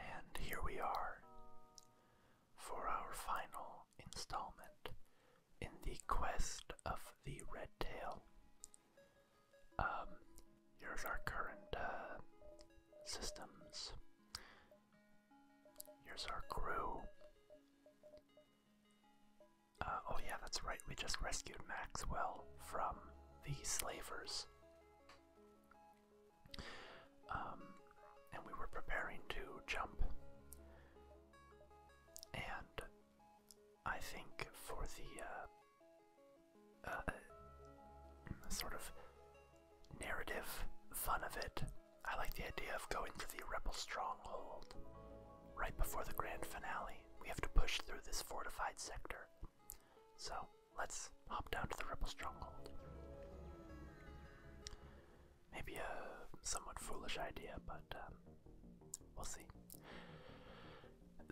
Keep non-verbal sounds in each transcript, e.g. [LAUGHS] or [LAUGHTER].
And here we are for our final installment in the quest of the red um, here's our current uh, systems. Here's our crew. Uh, oh yeah, that's right, we just rescued Maxwell from the slavers. Um, and we were preparing to jump. And I think for the uh, uh, sort of narrative fun of it, I like the idea of going to the Rebel stronghold. Right before the grand finale, we have to push through this fortified sector. So let's hop down to the Rebel stronghold. Maybe a somewhat foolish idea, but um, we'll see.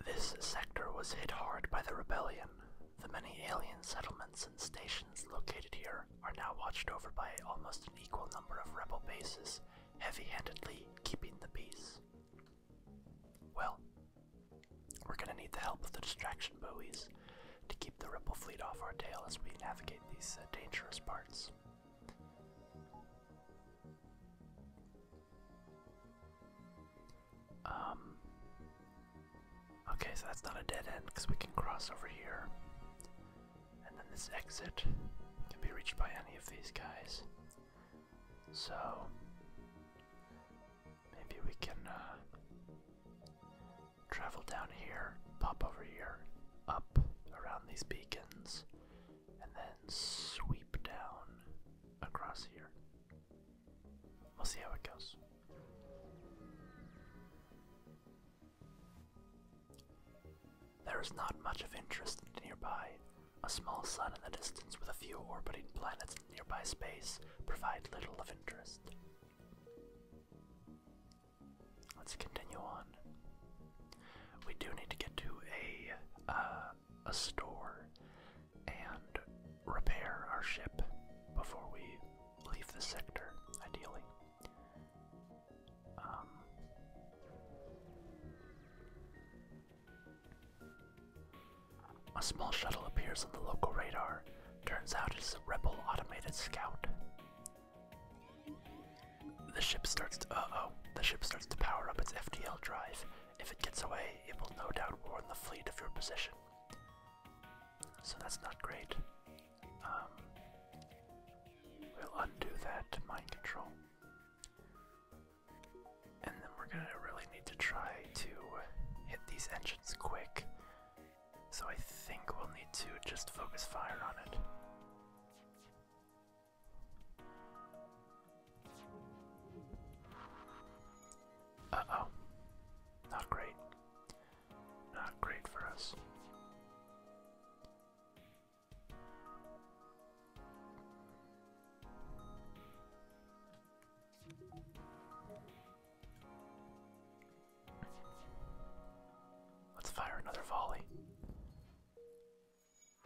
This sector was hit hard by the rebellion. The many alien settlements and stations located here are now watched over by almost an equal number of rebel bases heavy-handedly keeping the peace. Well, we're going to need the help of the distraction buoys to keep the ripple fleet off our tail as we navigate these uh, dangerous parts. Um, okay, so that's not a dead end because we can cross over here. And then this exit can be reached by any of these guys. So maybe we can uh, travel down here, pop over here, up around these beacons, and then sweep down across here. We'll see how it goes. There is not much of interest nearby. A small sun in the distance with a few orbiting planets in nearby space provide little of interest. Let's continue on. We do need to get to a uh, a store and repair our ship before we leave the sector, ideally. Um, a small shuttle appears on the local radar. Turns out it's a rebel automated scout. The ship starts to uh-oh. The ship starts to power up its FDL drive. If it gets away, it will no doubt warn the fleet of your position. So that's not great. Um, we'll undo that mind control. And then we're gonna really need to try to hit these engines quick. So I think we'll need to just focus fire on it. Uh oh. Not great. Not great for us. Let's fire another volley.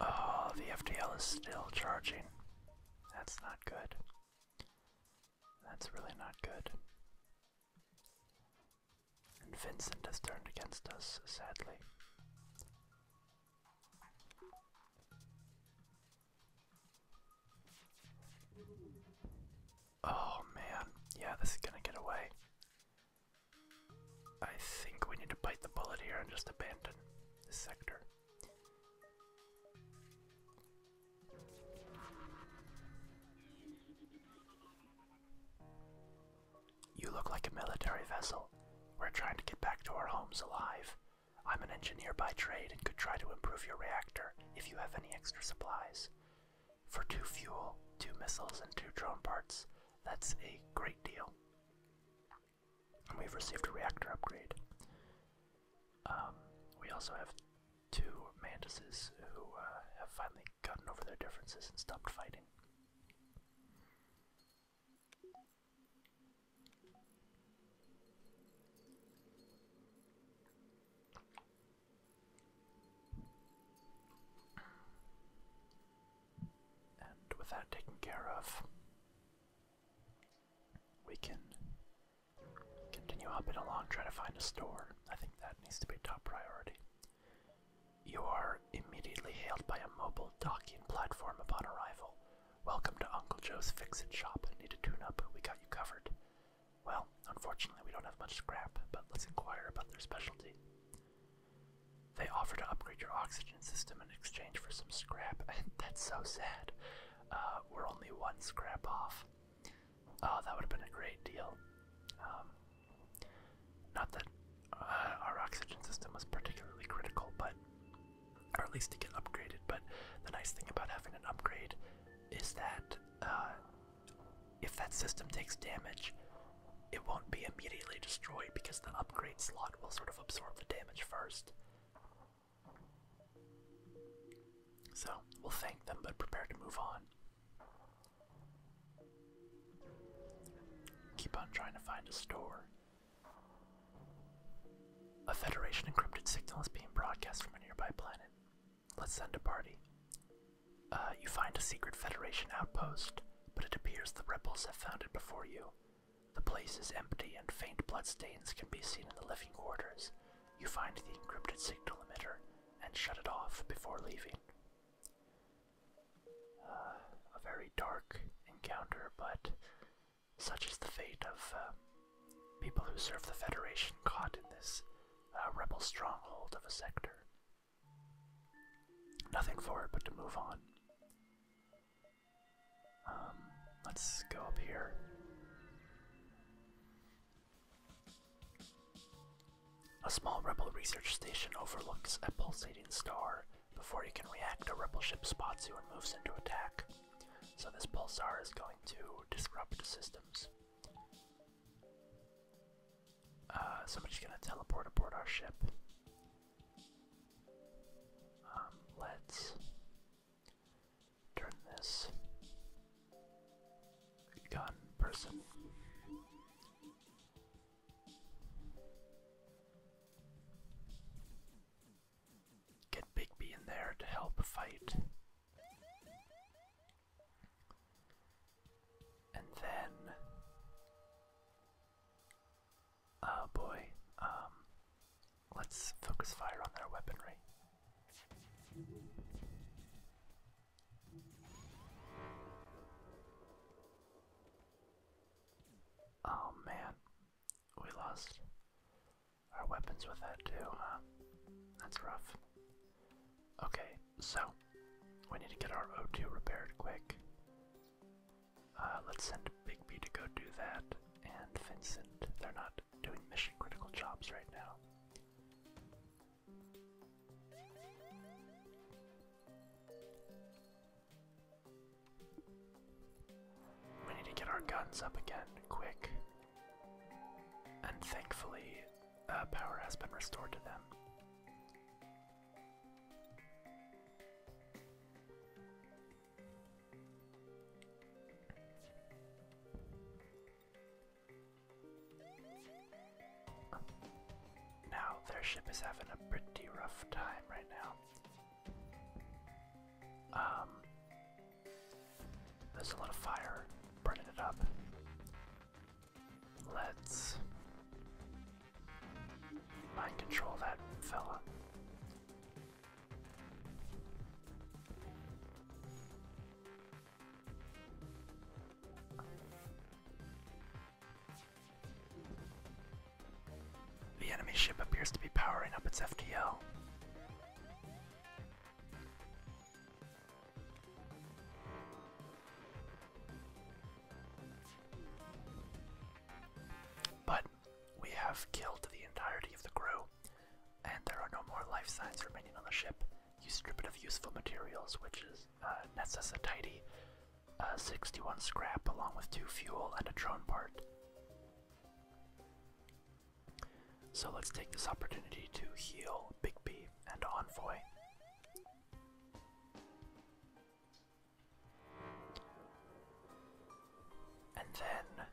Oh, the FDL is still charging. That's not good. That's really not good. Vincent has turned against us, sadly. Oh man, yeah, this is gonna get away. I think we need to bite the bullet here and just abandon this sector. You look like a military vessel. We're trying to get back to our homes alive. I'm an engineer by trade and could try to improve your reactor if you have any extra supplies. For two fuel, two missiles, and two drone parts, that's a great deal. we've received a reactor upgrade. Um, we also have two mantises who uh, have finally gotten over their differences and stopped fighting. And with that taken care of, we can continue hopping along, try to find a store. I think that needs to be top priority. You are immediately hailed by a mobile docking platform upon arrival. Welcome to Uncle Joe's Fix It Shop. Need a tune up? We got you covered. Well, unfortunately, we don't have much scrap, but let's inquire about their specialty. They offer to upgrade your oxygen system in exchange for some scrap, [LAUGHS] that's so sad. Uh, we're only one scrap off. Oh, that would have been a great deal. Um, not that uh, our oxygen system was particularly critical, but or at least to get upgraded. But the nice thing about having an upgrade is that uh, if that system takes damage, it won't be immediately destroyed because the upgrade slot will sort of absorb the damage first. So we'll thank them, but prepare to move on. Keep on trying to find a store. A Federation encrypted signal is being broadcast from a nearby planet. Let's send a party. Uh, you find a secret Federation outpost, but it appears the rebels have found it before you. The place is empty and faint blood stains can be seen in the living quarters. You find the encrypted signal emitter and shut it off before leaving. Uh, a very dark encounter, but such is the fate of uh, people who serve the Federation caught in this uh, rebel stronghold of a sector. Nothing for it but to move on. Um, let's go up here. A small rebel research station overlooks a pulsating star before you can react, a rebel ship spots you and moves into attack. So this pulsar is going to disrupt systems. Uh, somebody's gonna teleport aboard our ship. Um, let's turn this gun person Get Bigby in there to help fight. And then. Oh boy. Um, let's focus fire on their weaponry. Oh man, we lost our weapons with that too, huh? That's rough. Okay, so we need to get our O2 repaired quick. Uh, let's send Big B to go do that, and Vincent. They're not doing mission critical jobs right now. We need to get our guns up again, quick. And thankfully, uh, power has been restored to them. Now, their ship is having a pretty rough time right now. Um, there's a lot of fire burning it up. Let's mind control that fella. The enemy ship appears to be powering up its FTL. But we have killed the entirety of the crew, and there are no more life signs remaining on the ship. You strip it of useful materials, which is uh, a 61 scrap along with two fuel and a drone part. So let's take this opportunity to heal Big B and Envoy. And then,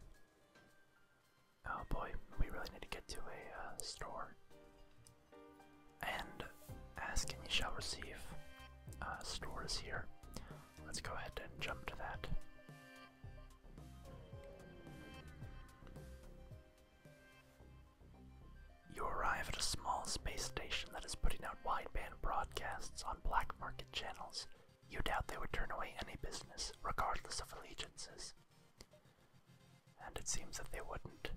oh boy, we really need to get to a uh, store. And ask and you shall receive uh, stores here. Let's go ahead and jump to that. You arrive at a small space station that is putting out wideband broadcasts on black market channels. You doubt they would turn away any business, regardless of allegiances. And it seems that they wouldn't,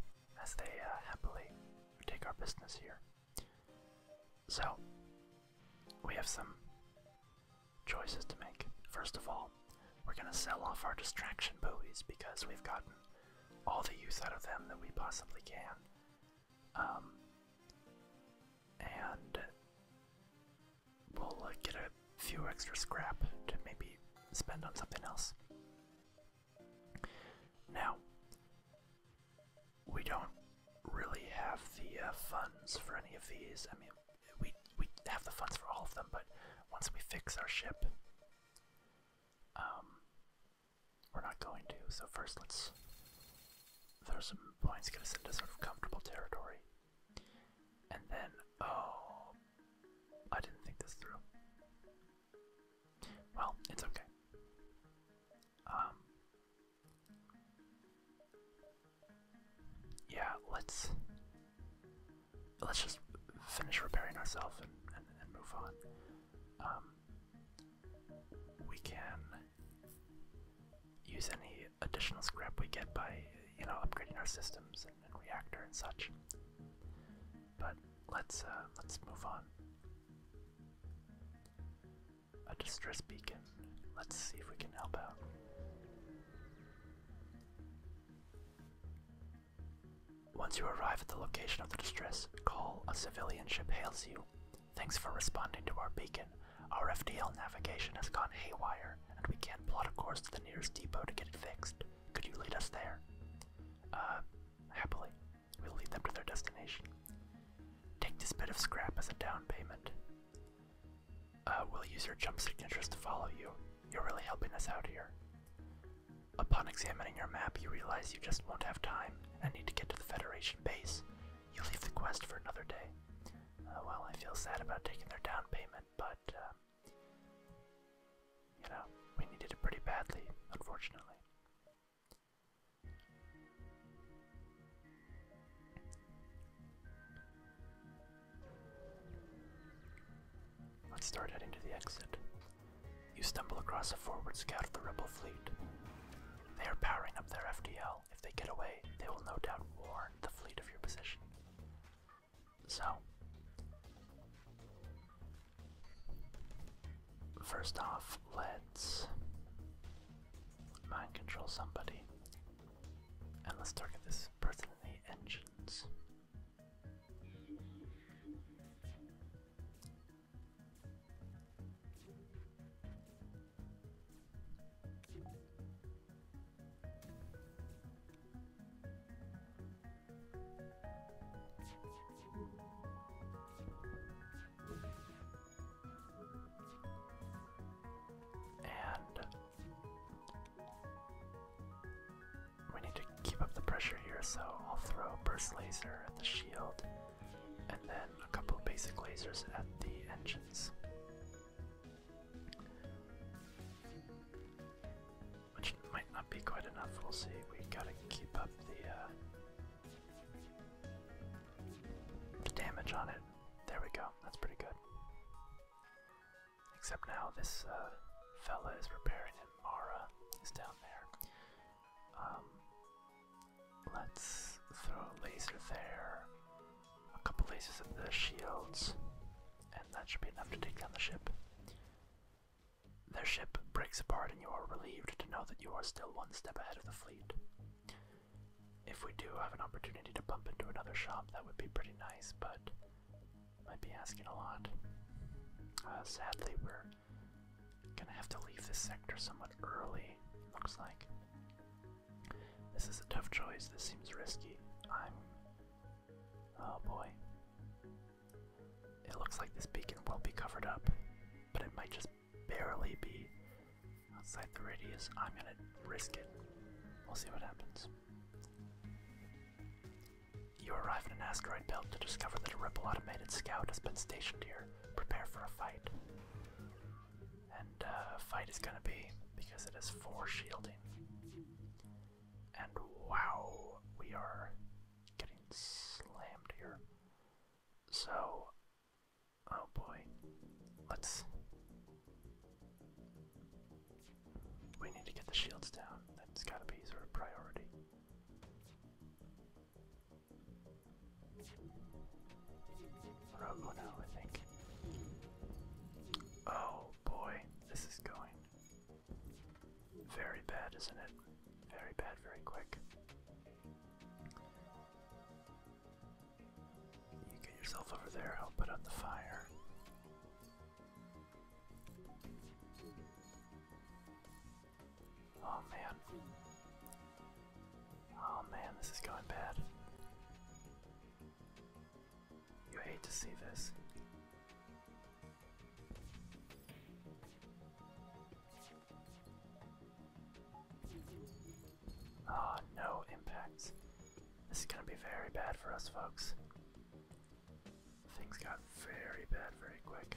as they uh, happily we take our business here. So, we have some choices to make. First of all, we're going to sell off our distraction buoys because we've gotten all the use out of them that we possibly can. Um, and we'll uh, get a few extra scrap to maybe spend on something else. Now, we don't really have the uh, funds for any of these. I mean, we we have the funds for all of them, but once we fix our ship, um, we're not going to. So first, let's throw some points, get us into sort of comfortable territory, and then oh, I didn't think this through. Well, it's okay. Um, yeah, let's let's just finish repairing ourselves and, move on. Um, we can use any additional scrap we get by, you know, upgrading our systems and reactor and such. But let's uh, let's move on. A distress beacon. Let's see if we can help out. Once you arrive at the location of the distress call, a civilian ship hails you. Thanks for responding to our beacon. Our FDL navigation has gone haywire, and we can't plot a course to the nearest depot to get it fixed. Could you lead us there? Uh, happily. We'll lead them to their destination. Take this bit of scrap as a down payment. Uh, we'll use your jump signatures to follow you. You're really helping us out here. Upon examining your map, you realize you just won't have time and need to get to the Federation base. You leave the quest for another day. Uh, well, I feel sad about taking their down payment, but, uh, you know, we needed it pretty badly, unfortunately. Let's start heading to the exit. You stumble across a forward scout of the rebel fleet. They are powering up their FDL. If they get away, they will no doubt warn the fleet of your position. So, First off, let's mind control somebody. And let's target this person in the engines. And we need to keep up the pressure here, so I'll throw a burst laser at the shield and then a couple basic lasers at the engines not be quite enough. We'll see. We gotta keep up uh, the, damage on it. There we go. That's pretty good. Except now this uh, fella is repairing it. Mara is down there. Um, let's throw a laser there, a couple lasers at the shields, and that should be enough to take down the ship. Their ship breaks apart, and you are relieved to know that you are still one step ahead of the fleet. If we do have an opportunity to bump into another shop, that would be pretty nice, but might be asking a lot. Uh, sadly, we're gonna have to leave this sector somewhat early, looks like. This is a tough choice, this seems risky. I'm. Oh boy. It looks like this beacon will be covered up, but it might just barely be outside the radius. I'm gonna risk it. We'll see what happens. You arrive in an asteroid belt to discover that a Ripple automated scout has been stationed here. Prepare for a fight. And a uh, fight is gonna be because it has four shielding. And wow, we are getting slammed here. So, oh boy, let's. We need to get the shields down. That's gotta be sort of priority. Rogue one I think. Oh boy, this is going very bad, isn't it? Very bad, very quick. You get yourself over there, I'll put out the fire. Oh man. Oh man, this is going bad. You hate to see this. Ah, no impacts. This is gonna be very bad for us, folks. Things got very bad very quick.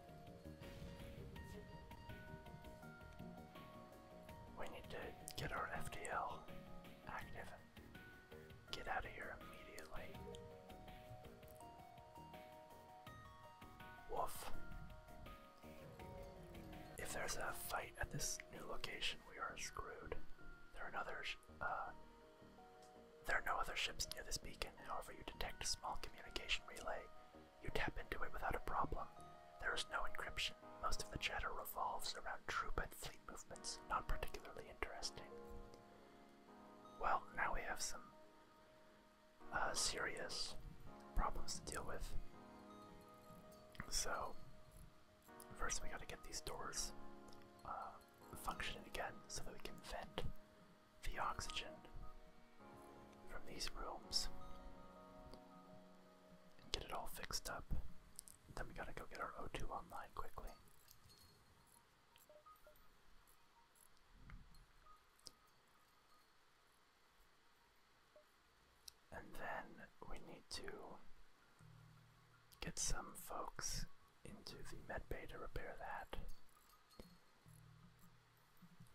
We need to get our FDL active. Get out of here immediately. Woof. If there's a fight at this new location, we are screwed. There are no other uh, there are no other ships near this beacon. However, you detect a small communication relay you tap into it without a problem. There is no encryption. Most of the chatter revolves around troop and fleet movements, not particularly interesting. Well, now we have some uh, serious problems to deal with. So, first we gotta get these doors uh, functioning again so that we can vent the oxygen from these rooms and get it all fixed up. Then we gotta go get our O2 online quickly. And then we need to get some folks into the med bay to repair that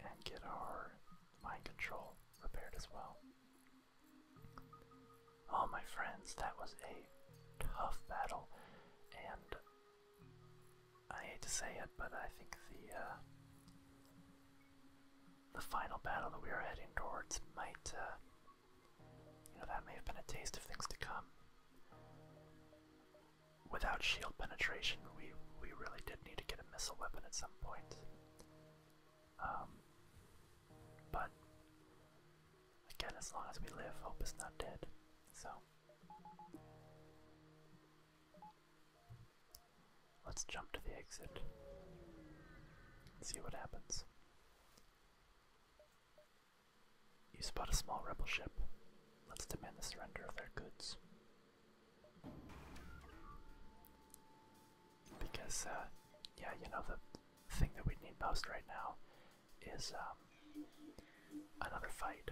and get our mind control repaired as well. Oh, my friends, that was a tough battle, and I hate to say it, but I think the uh, the final battle that we are heading towards might, uh, you know, that may have been a taste of things to come without shield penetration, we we really did need to get a missile weapon at some point. Um, but again, as long as we live, hope is not dead. So let's jump to the exit. See what happens. You spot a small rebel ship. Let's demand the surrender of their goods. Because, uh, yeah, you know, the thing that we need most right now is um, another fight.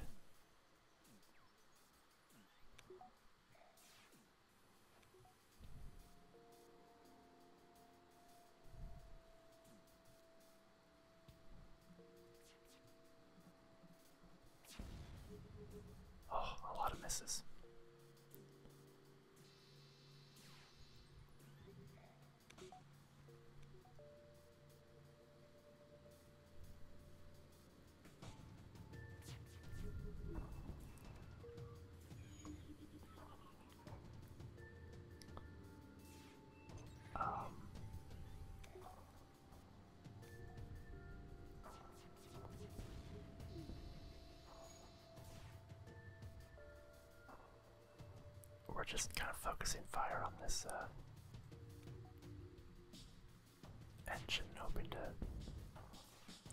Oh, a lot of misses. Um, we're just kind of focusing fire on this uh, engine, hoping to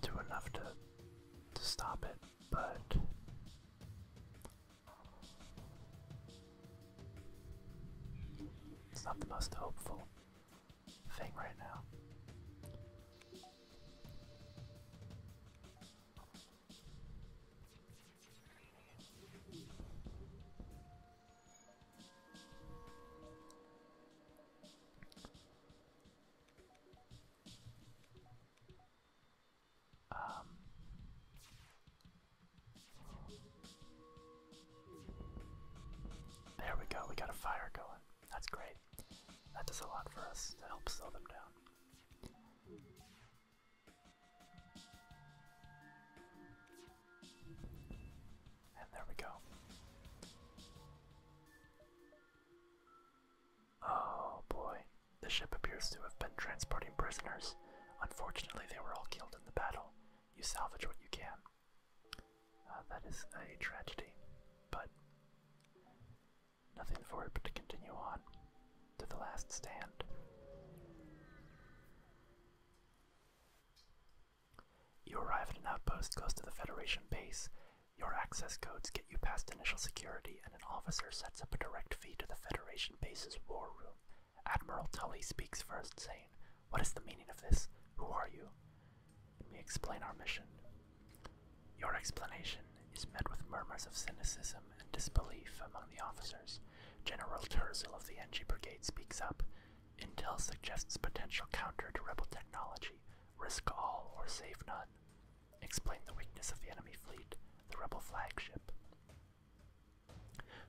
do enough to to stop it, but. It's not the most hopeful thing right now. Um, there we go, we got a fire going. That's great. That does a lot for us to help slow them down. And there we go. Oh boy. The ship appears to have been transporting prisoners. Unfortunately, they were all killed in the battle. You salvage what you can. Uh, that is a tragedy, but nothing for it but to continue on to the last stand. You arrive at an outpost close to the Federation base. Your access codes get you past initial security, and an officer sets up a direct feed to the Federation base's war room. Admiral Tully speaks first, saying, What is the meaning of this? Who are you? Let me explain our mission. Your explanation is met with murmurs of cynicism and disbelief among the officers. General Terzel of the NG Brigade speaks up. Intel suggests potential counter to rebel technology. Risk all or save none. Explain the weakness of the enemy fleet, the rebel flagship.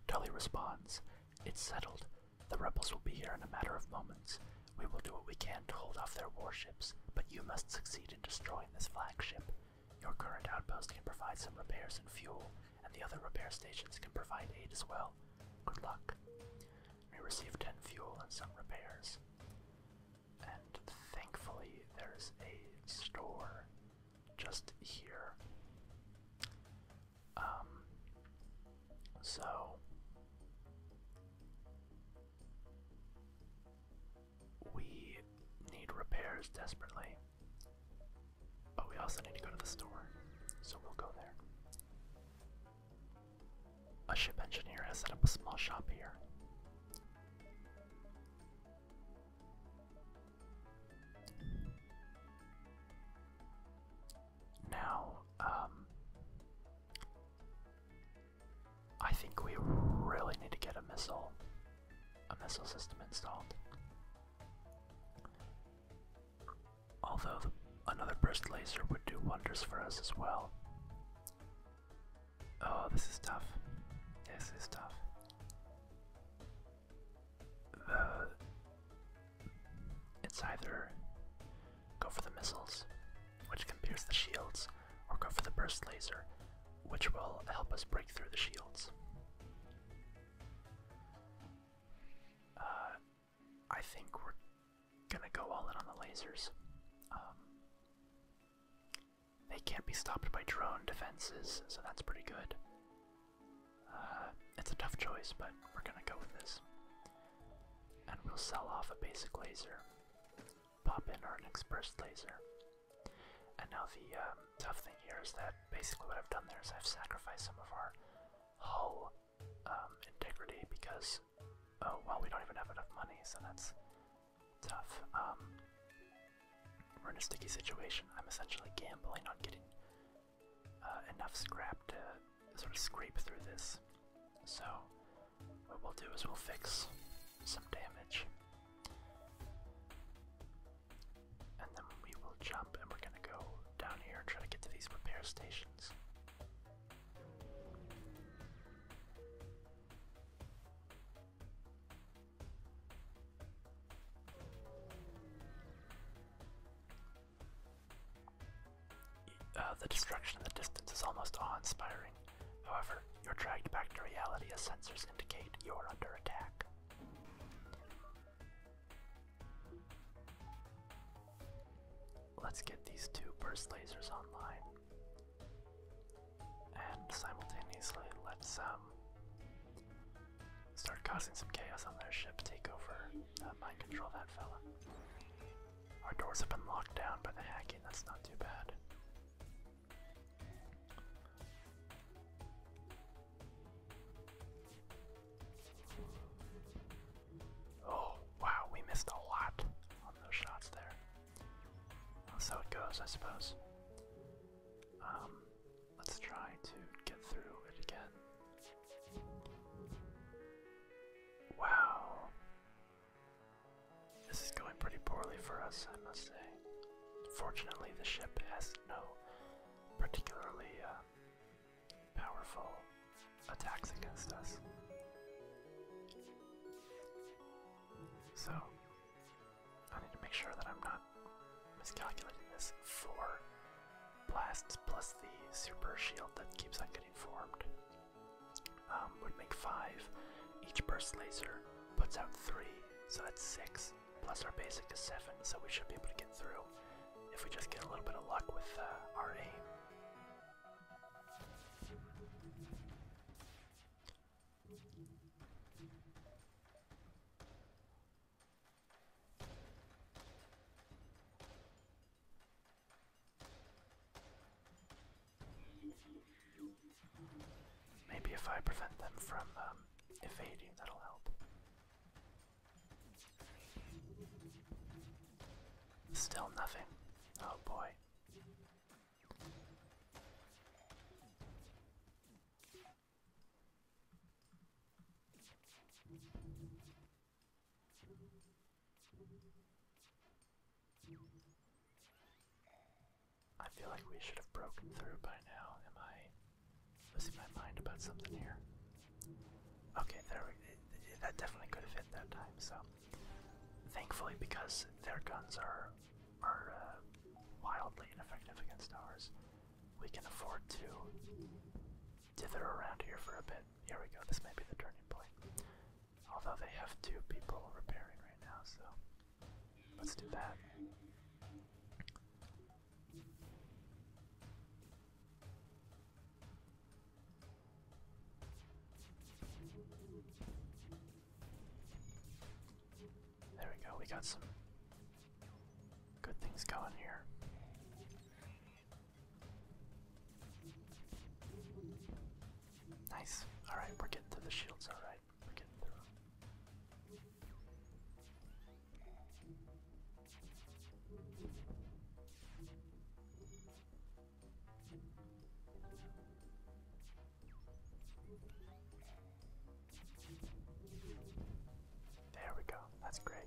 Tully responds, It's settled. The rebels will be here in a matter of moments. We will do what we can to hold off their warships, but you must succeed in destroying this flagship. Your current outpost can provide some repairs and fuel, and the other repair stations can provide aid as well. Good luck. We received 10 fuel and some repairs. And thankfully, there's a store just here. Um, so we need repairs desperately, but we also need to go to the store, so we'll go there. A ship engineer has set up a small shop here. Now, um, I think we really need to get a missile, a missile system installed. Although another burst laser would do wonders for us as well. Oh, this is tough. This is tough. It's either go for the missiles, which can pierce the shields, or go for the burst laser, which will help us break through the shields. Uh, I think we're gonna go all in on the lasers. Um, they can't be stopped by drone defenses, so that's pretty good. Uh, it's a tough choice, but we're gonna go with this. And we'll sell off a basic laser, pop in our next burst laser. And now the um, tough thing here is that basically what I've done there is I've sacrificed some of our hull um, integrity because, oh, well, we don't even have enough money, so that's tough. Um, we're in a sticky situation. I'm essentially gambling on getting uh, enough scrap to sort of scrape through this. So, what we'll do is we'll fix some damage. And then we will jump and we're gonna go down here and try to get to these repair stations. Uh, the destruction in the distance is almost awe inspiring. However, you're dragged back to reality as sensors indicate you're under attack. Let's get these two burst lasers online. And simultaneously, let's um, start causing some chaos on their ship, take over not mind control that fella. Our doors have been locked down by the hacking, that's not too bad. Oh, wow, we missed a lot on those shots there. That's how it goes, I suppose. Um, let's try to get through it again. Wow. This is going pretty poorly for us, I must say. Fortunately, the ship has no particularly uh, powerful attacks against us. So, I need to make sure that I'm not miscalculating this for blasts plus the super shield that keeps on getting formed um, would make five. Each burst laser puts out three, so that's six. Plus our basic is seven, so we should be able to get through if we just get a little bit of luck with uh, our aim. Maybe if I prevent them from um, evading, that'll help. Still nothing. Oh boy. I feel like we should have broken through by now. Am I losing my mind about something here? Okay, that definitely could have hit that time. So, thankfully, because their guns are are uh, wildly ineffective against ours, we can afford to dither around here for a bit. Here we go, this may be the turning point. Although they have two people repairing right now, so let's do that. There we go, we got some good things going here. Nice. Alright, we're getting through the shields, alright. We're getting through There we go. That's great.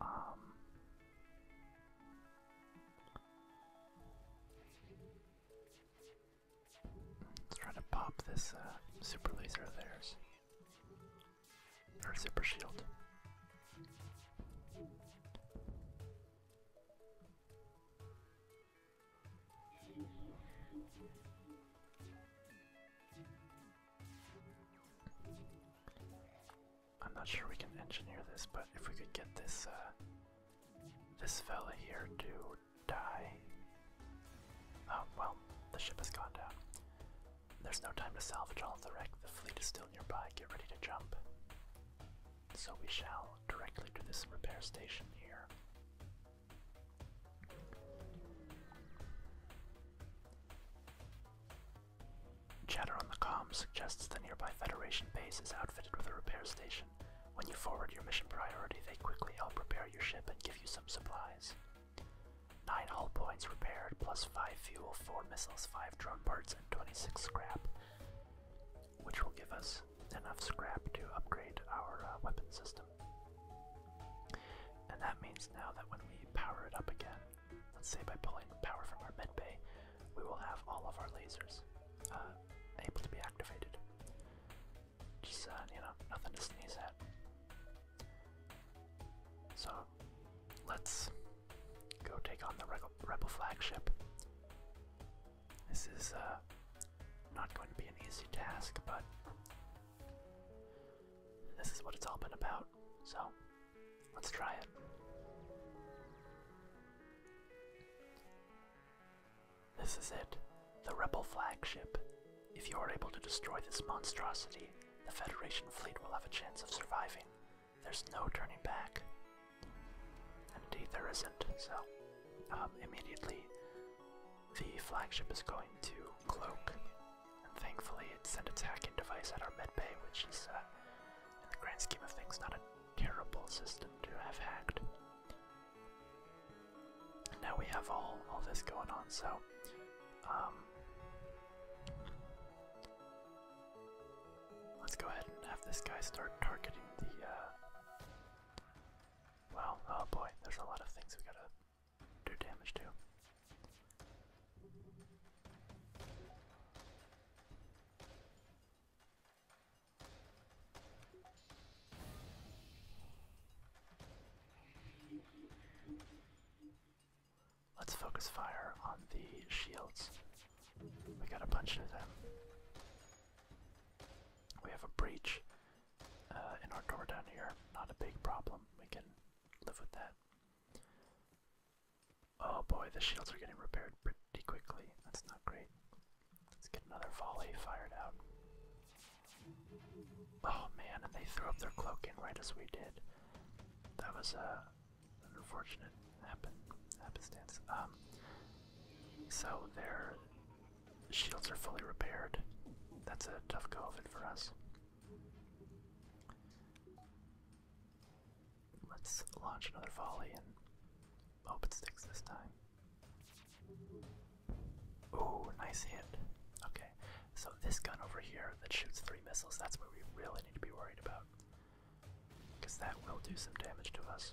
Um, let's try to pop this uh, super laser of theirs. Or super shield. I'm not sure we can engineer this, but if we could get this uh, this fella here to die. Oh well, the ship has gone down. There's no time to salvage all of the wreck. The fleet is still nearby. Get ready to jump. So we shall directly to this repair station here. Chatter on the comm suggests the nearby Federation base is outfitted with a repair station. When you forward your mission priority, they quickly help repair your ship and give you some supplies. 9 hull points repaired, plus 5 fuel, 4 missiles, 5 drone parts, and 26 scrap which will give us enough scrap to upgrade our uh, weapon system. And that means now that when we power it up again, let's say by pulling power from our medbay, we will have all of our lasers uh, able to be activated. Just, uh, you know, nothing to sneeze at. So, let's go take on the rebel flagship. This is uh, not going to be an easy task, but this is what it's all been about. So let's try it. This is it, the Rebel flagship. If you are able to destroy this monstrosity, the Federation fleet will have a chance of surviving. There's no turning back. And indeed there isn't, so um, immediately the flagship is going to cloak, and thankfully it's a hacking device at our med bay, which is, uh, in the grand scheme of things, not a terrible system to have hacked. now we have all, all this going on, so, um, let's go ahead and have this guy start targeting the, uh, well, oh boy, there's a lot of things we gotta do damage to. Let's focus fire on the shields. We got a bunch of them. We have a breach uh, in our door down here. Not a big problem. We can live with that. Oh boy, the shields are getting repaired pretty quickly. That's not great. Let's get another volley fired out. Oh man, and they threw up their cloak cloaking right as we did. That was uh, an unfortunate happen happenstance. Um, so they're Shields are fully repaired. That's a tough go for us. Let's launch another volley and hope it sticks this time. Ooh, nice hit. Okay, so this gun over here that shoots three missiles, that's what we really need to be worried about. Because that will do some damage to us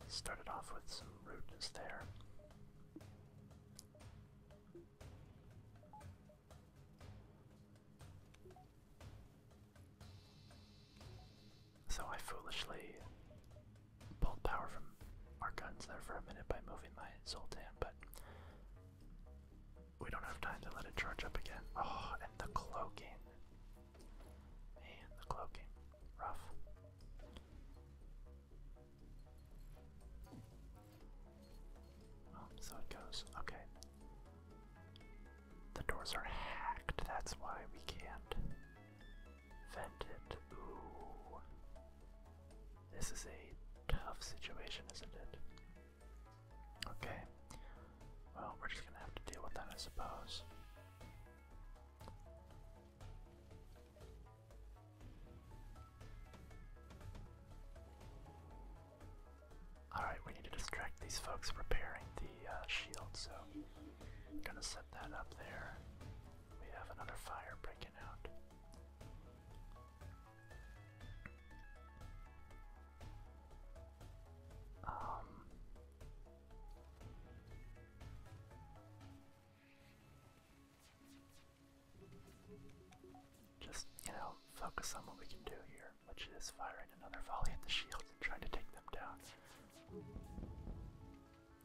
and started off with some rudeness there. So I foolishly pulled power from our guns there for a minute by moving my Sultan, but we don't have time to let it charge up again. Oh, and the cloaking. Man, the cloaking. Rough. Oh, so it goes. Okay. The doors are hacked, that's why we can't vent it. Ooh. This is a tough situation, isn't it? Okay. Well, we're just gonna have to deal with that, I suppose. Alright, we need to distract these folks repairing the uh, shield, so I'm gonna set that up there. We have another fire breaking out. Um, just, you know, focus on what we can do here, which is firing another volley at the shields and trying to take them down.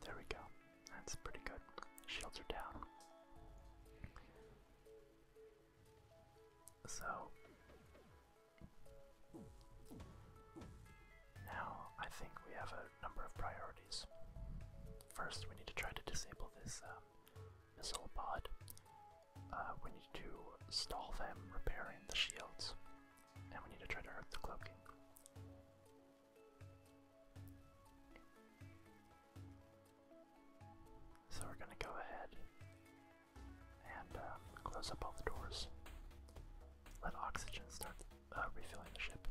There we go. That's pretty good. Shields are down. So now I think we have a number of priorities. First, we need to try to disable this um, missile pod. Uh, we need to stall them repairing the shields, and we need to try to hurt the cloaking. So we're going to go ahead and uh, close up all the doors. Let oxygen start uh, refilling the ship.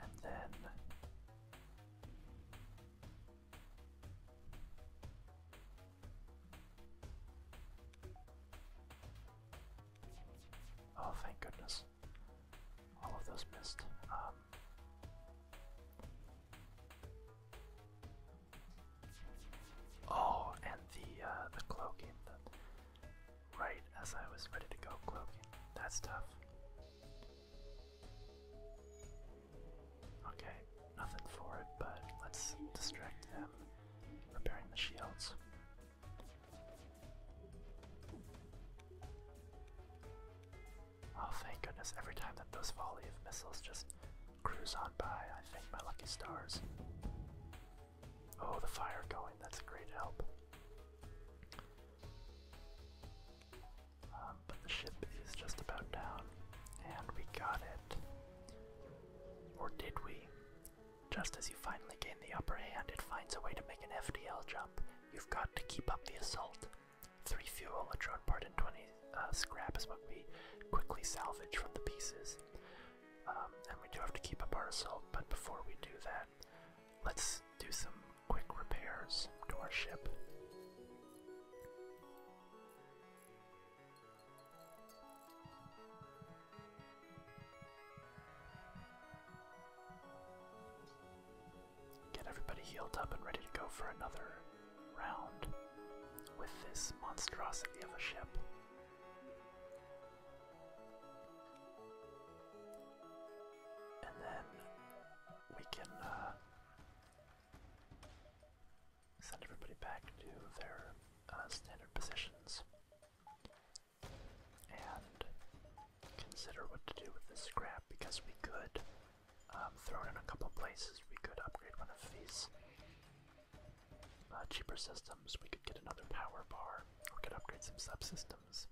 And then. Oh, thank goodness. All of those missed. Um, Oh, and the uh, the cloaking, right as I was ready to go cloaking. That's tough. Okay, nothing for it, but let's distract them, repairing the shields. Oh, thank goodness, every time that those volley of missiles just Cruise on by, I thank my lucky stars. Oh, the fire going, that's a great help. Um, but the ship is just about down, and we got it. Or did we? Just as you finally gain the upper hand, it finds a way to make an FDL jump. You've got to keep up the assault. Three fuel, a drone part, and 20 uh, scrap is what we quickly salvage from the pieces. Um, and we do have to keep up our assault, but before we do that, let's do some quick repairs to our ship. Get everybody healed up and ready to go for another round with this monstrosity of a ship. And then we can uh, send everybody back to their uh, standard positions and consider what to do with this scrap because we could um, thrown in a couple places. We could upgrade one of these uh, cheaper systems. We could get another power bar. We could upgrade some subsystems.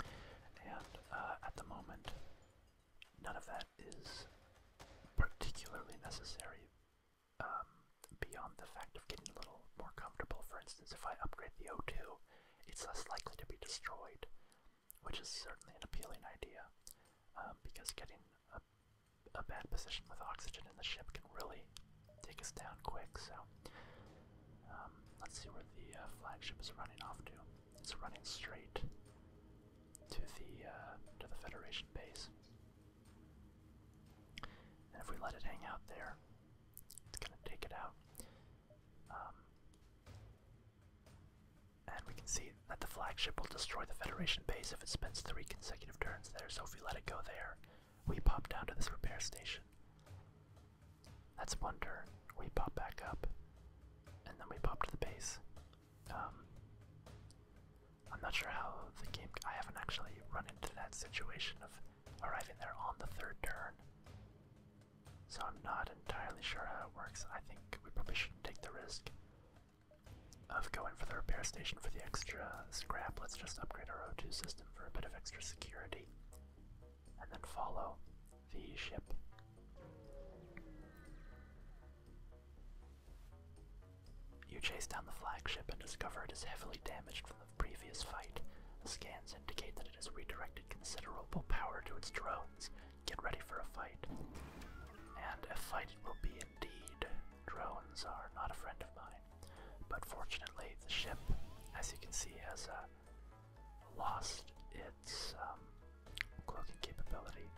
And uh, at the moment, none of that is particularly necessary um, beyond the fact of getting a little more comfortable. For instance, if I upgrade the O2, it's less likely to be destroyed, which is certainly an appealing idea um, because getting a a bad position with oxygen in the ship can really take us down quick. So um, let's see where the uh, flagship is running off to. It's running straight to the uh, to the Federation base. And if we let it hang out there, it's gonna take it out. Um, and we can see that the flagship will destroy the Federation base if it spends three consecutive turns there, so if we let it go there, we pop down to this repair station. That's one turn. We pop back up, and then we pop to the base. Um, I'm not sure how the game. I haven't actually run into that situation of arriving there on the third turn. So I'm not entirely sure how it works. I think we probably shouldn't take the risk of going for the repair station for the extra scrap, let's just upgrade our O2 system for a bit of extra security. And then follow the ship. You chase down the flagship and discover it is heavily damaged from the previous fight. The scans indicate that it has redirected considerable power to its drones, get ready for a fight. And a fight it will be indeed. Drones are not a friend of mine. But fortunately, the ship, as you can see, has uh, lost its um, cloaking capability.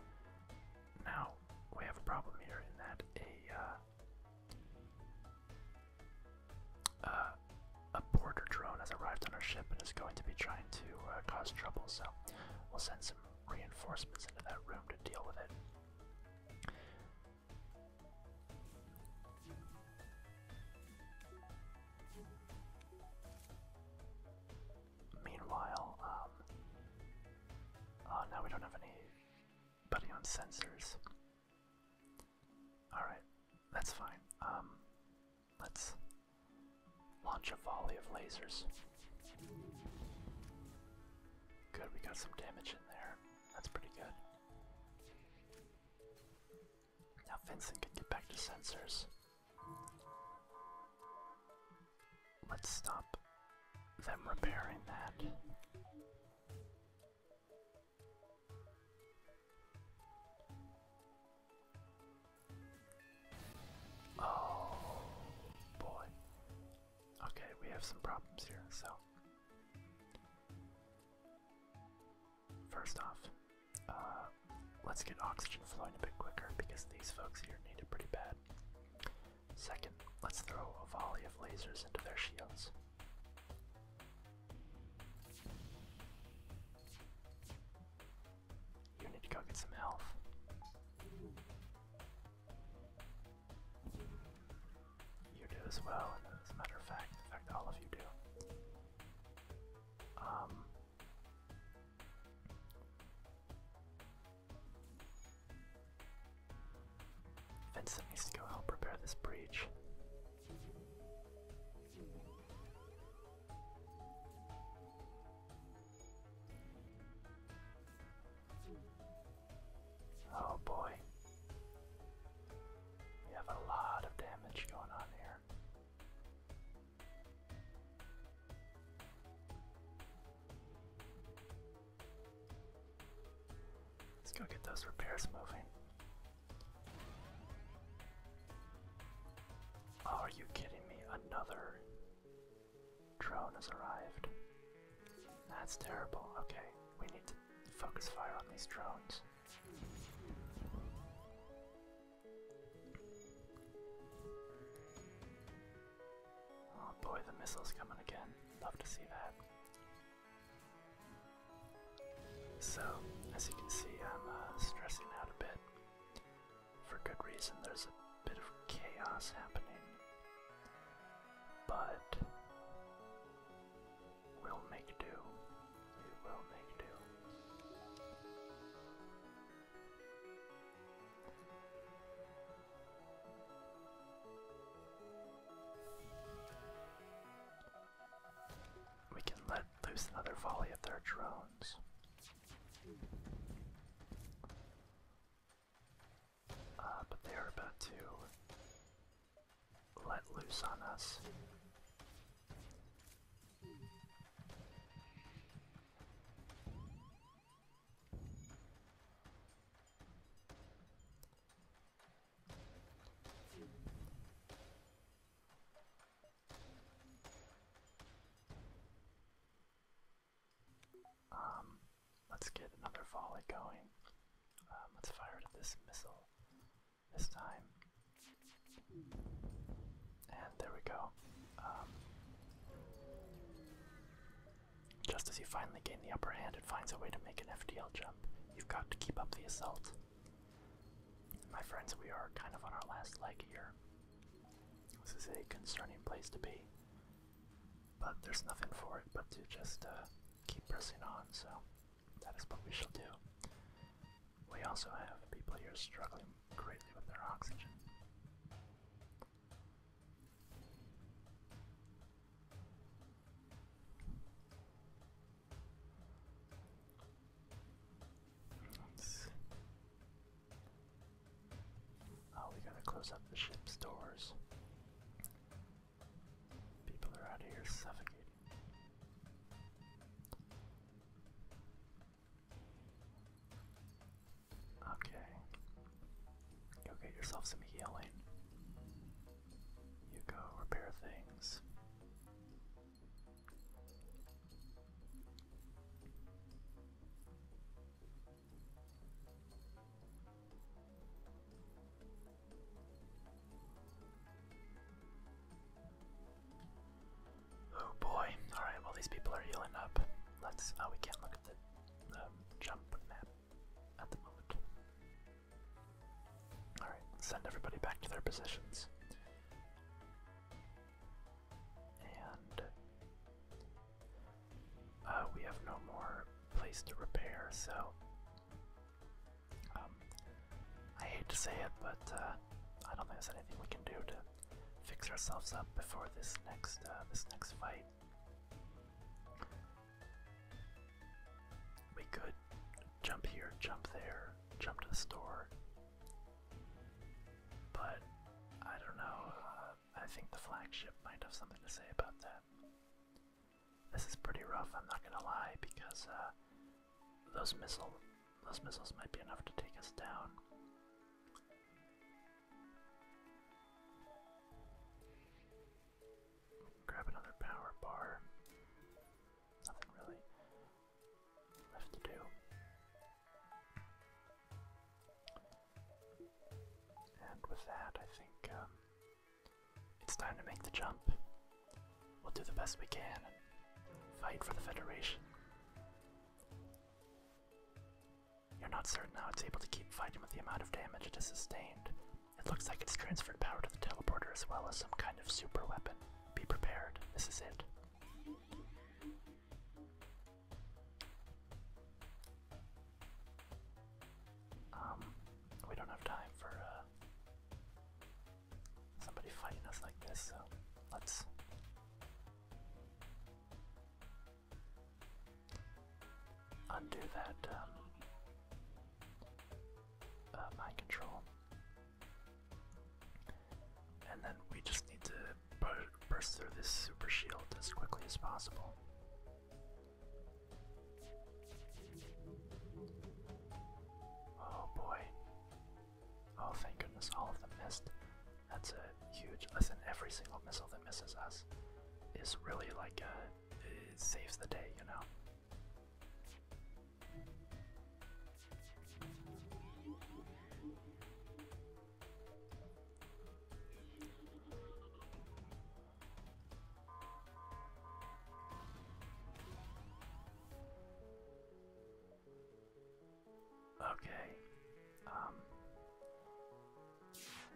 Now, we have a problem here in that a, uh, uh, a border drone has arrived on our ship and is going to be trying to uh, cause trouble, so we'll send some reinforcements into that room to deal with it. Meanwhile, um, uh, now we don't have anybody on sensors. Alright, that's fine. Um, let's Launch a volley of lasers. Good, we got some damage in there. That's pretty good. Now Vincent can get back to sensors. Let's stop them repairing that. Oh boy. Okay, we have some problems here, so. First off, uh, let's get oxygen flowing a bit quicker because these folks here need it pretty bad. Second, let's throw a volley of lasers into their shields. You need to go get some health. You do as well, and as a matter of fact, in fact, all of you do. Um, Vincent needs to go help repair this breach. Oh boy. We have a lot of damage going on here. Let's go get those repairs moving. are you kidding me? Another Drone has arrived. That's terrible. Okay, we need to focus fire on these drones. Oh boy, the missile's coming again. Love to see that. So, as you can see, I'm uh, stressing out a bit for good reason. There's a bit of chaos happening, but we'll make do. We will make do. We can let loose another volley of their drones. Uh, but they are about to let loose on us. Um, let's get another volley going. Um, let's fire at this missile this time. And there we go. Um, just as you finally gain the upper hand, it finds a way to make an FDL jump. You've got to keep up the assault. My friends, we are kind of on our last leg here. This is a concerning place to be. But there's nothing for it but to just uh, keep pressing on, so that is what we shall do. We also have people here struggling greatly with their oxygen. Oh, we gotta close up the ship's doors. People are out of here suffocating. Okay. Go get yourself some healing. You go repair things. Oh boy, alright, well these people are healing up. Let's, oh we can't look at the um, jump map at the moment. Alright, send everybody back to their positions and uh, we have no more place to repair, so um, I hate to say it, but uh, I don't think there's anything we can do to fix ourselves up before this next uh, this next fight. We could jump here, jump there, jump to the store, but I don't know. I think the flagship might have something to say about that. This is pretty rough, I'm not gonna lie, because uh, those missile those missiles might be enough to take us down. Grab another power bar. Nothing really left to do. And with that, I think um, it's time to make the jump. We'll do the best we can and fight for the Federation. You're not certain how it's able to keep fighting with the amount of damage it has sustained. It looks like it's transferred power to the teleporter as well as some kind of super weapon. Be prepared, this is it. Um, we don't have time for uh, somebody fighting us like this, so let's. Undo that um, uh, mind control, and then we just need to burst through this super shield as quickly as possible. Oh boy. Oh, thank goodness all of them missed. That's a huge. Listen, every single missile that misses us is really like a. It saves the day, you know? Okay. Um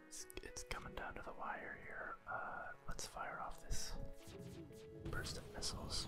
it's, it's coming down to the wire here. Uh let's fire off this burst of missiles.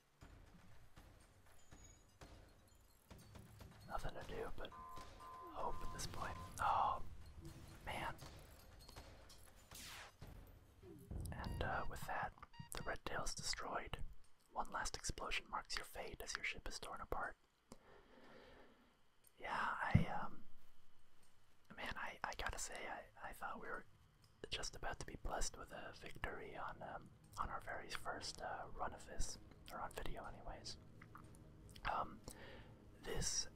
Nothing to do but hope at this point. Oh, man. And uh, with that, the Red Tail's destroyed. One last explosion marks your fate as your ship is torn apart. Yeah, I, um, man, I, I gotta say, I, I thought we were just about to be blessed with a victory on, um, on our very first uh, run of this, or on video, anyways. Um, this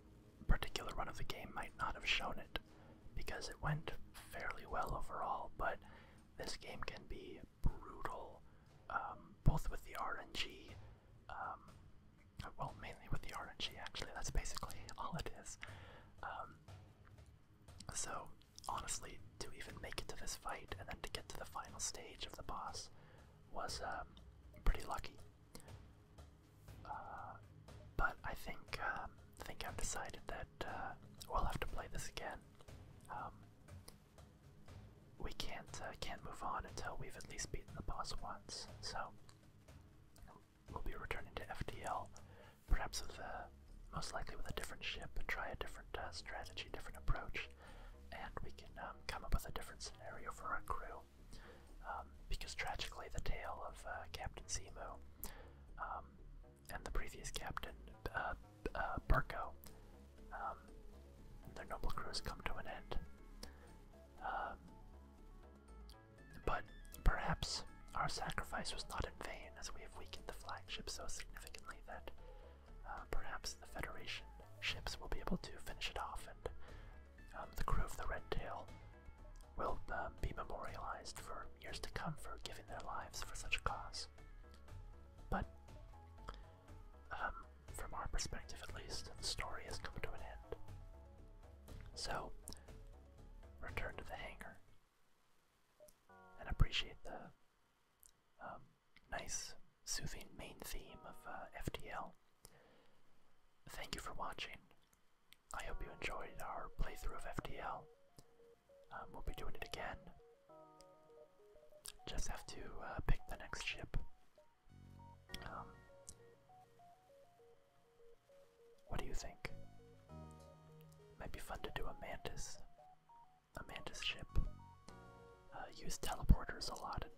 particular run of the game might not have shown it because it went fairly well overall, but this game can be brutal, um, both with the RNG, um, well, mainly with the RNG actually, that's basically [LAUGHS] all it is. So, honestly, to even make it to this fight and then to get to the final stage of the boss was um, pretty lucky. Uh, but I think um, I think I've decided that uh, we'll have to play this again. Um, we can't uh, can't move on until we've at least beaten the boss once. So we'll be returning to FDL, perhaps with a most likely with a different ship, and try a different uh, strategy, different approach, and we can um, come up with a different scenario for our crew. Um, because tragically, the tale of uh, Captain Simo um, and the previous captain uh, uh their noble crews come to an end. but perhaps our sacrifice was not in vain, as we have weakened the flagship so significantly that uh, perhaps the Federation ships will be able to finish it off, and um, the crew of the Red Tail will um, be memorialized for years to come for giving their lives for such a cause. But um, from our perspective, at least, the story has come to an end. So, return to the hangar and appreciate the um, nice, soothing main theme of uh, FDL. Thank you for watching. I hope you enjoyed our playthrough of FDL. Um, we'll be doing it again. Just have to uh, pick the next ship. Um, what do you think? Might be fun to do a mantis. Amanda's ship. Uh, use teleporters a lot and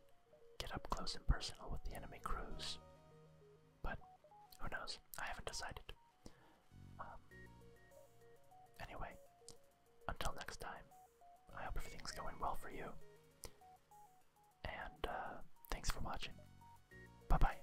get up close and personal with the enemy crews. But who knows? I haven't decided. Um, anyway, until next time, I hope everything's going well for you. And uh, thanks for watching. Bye bye.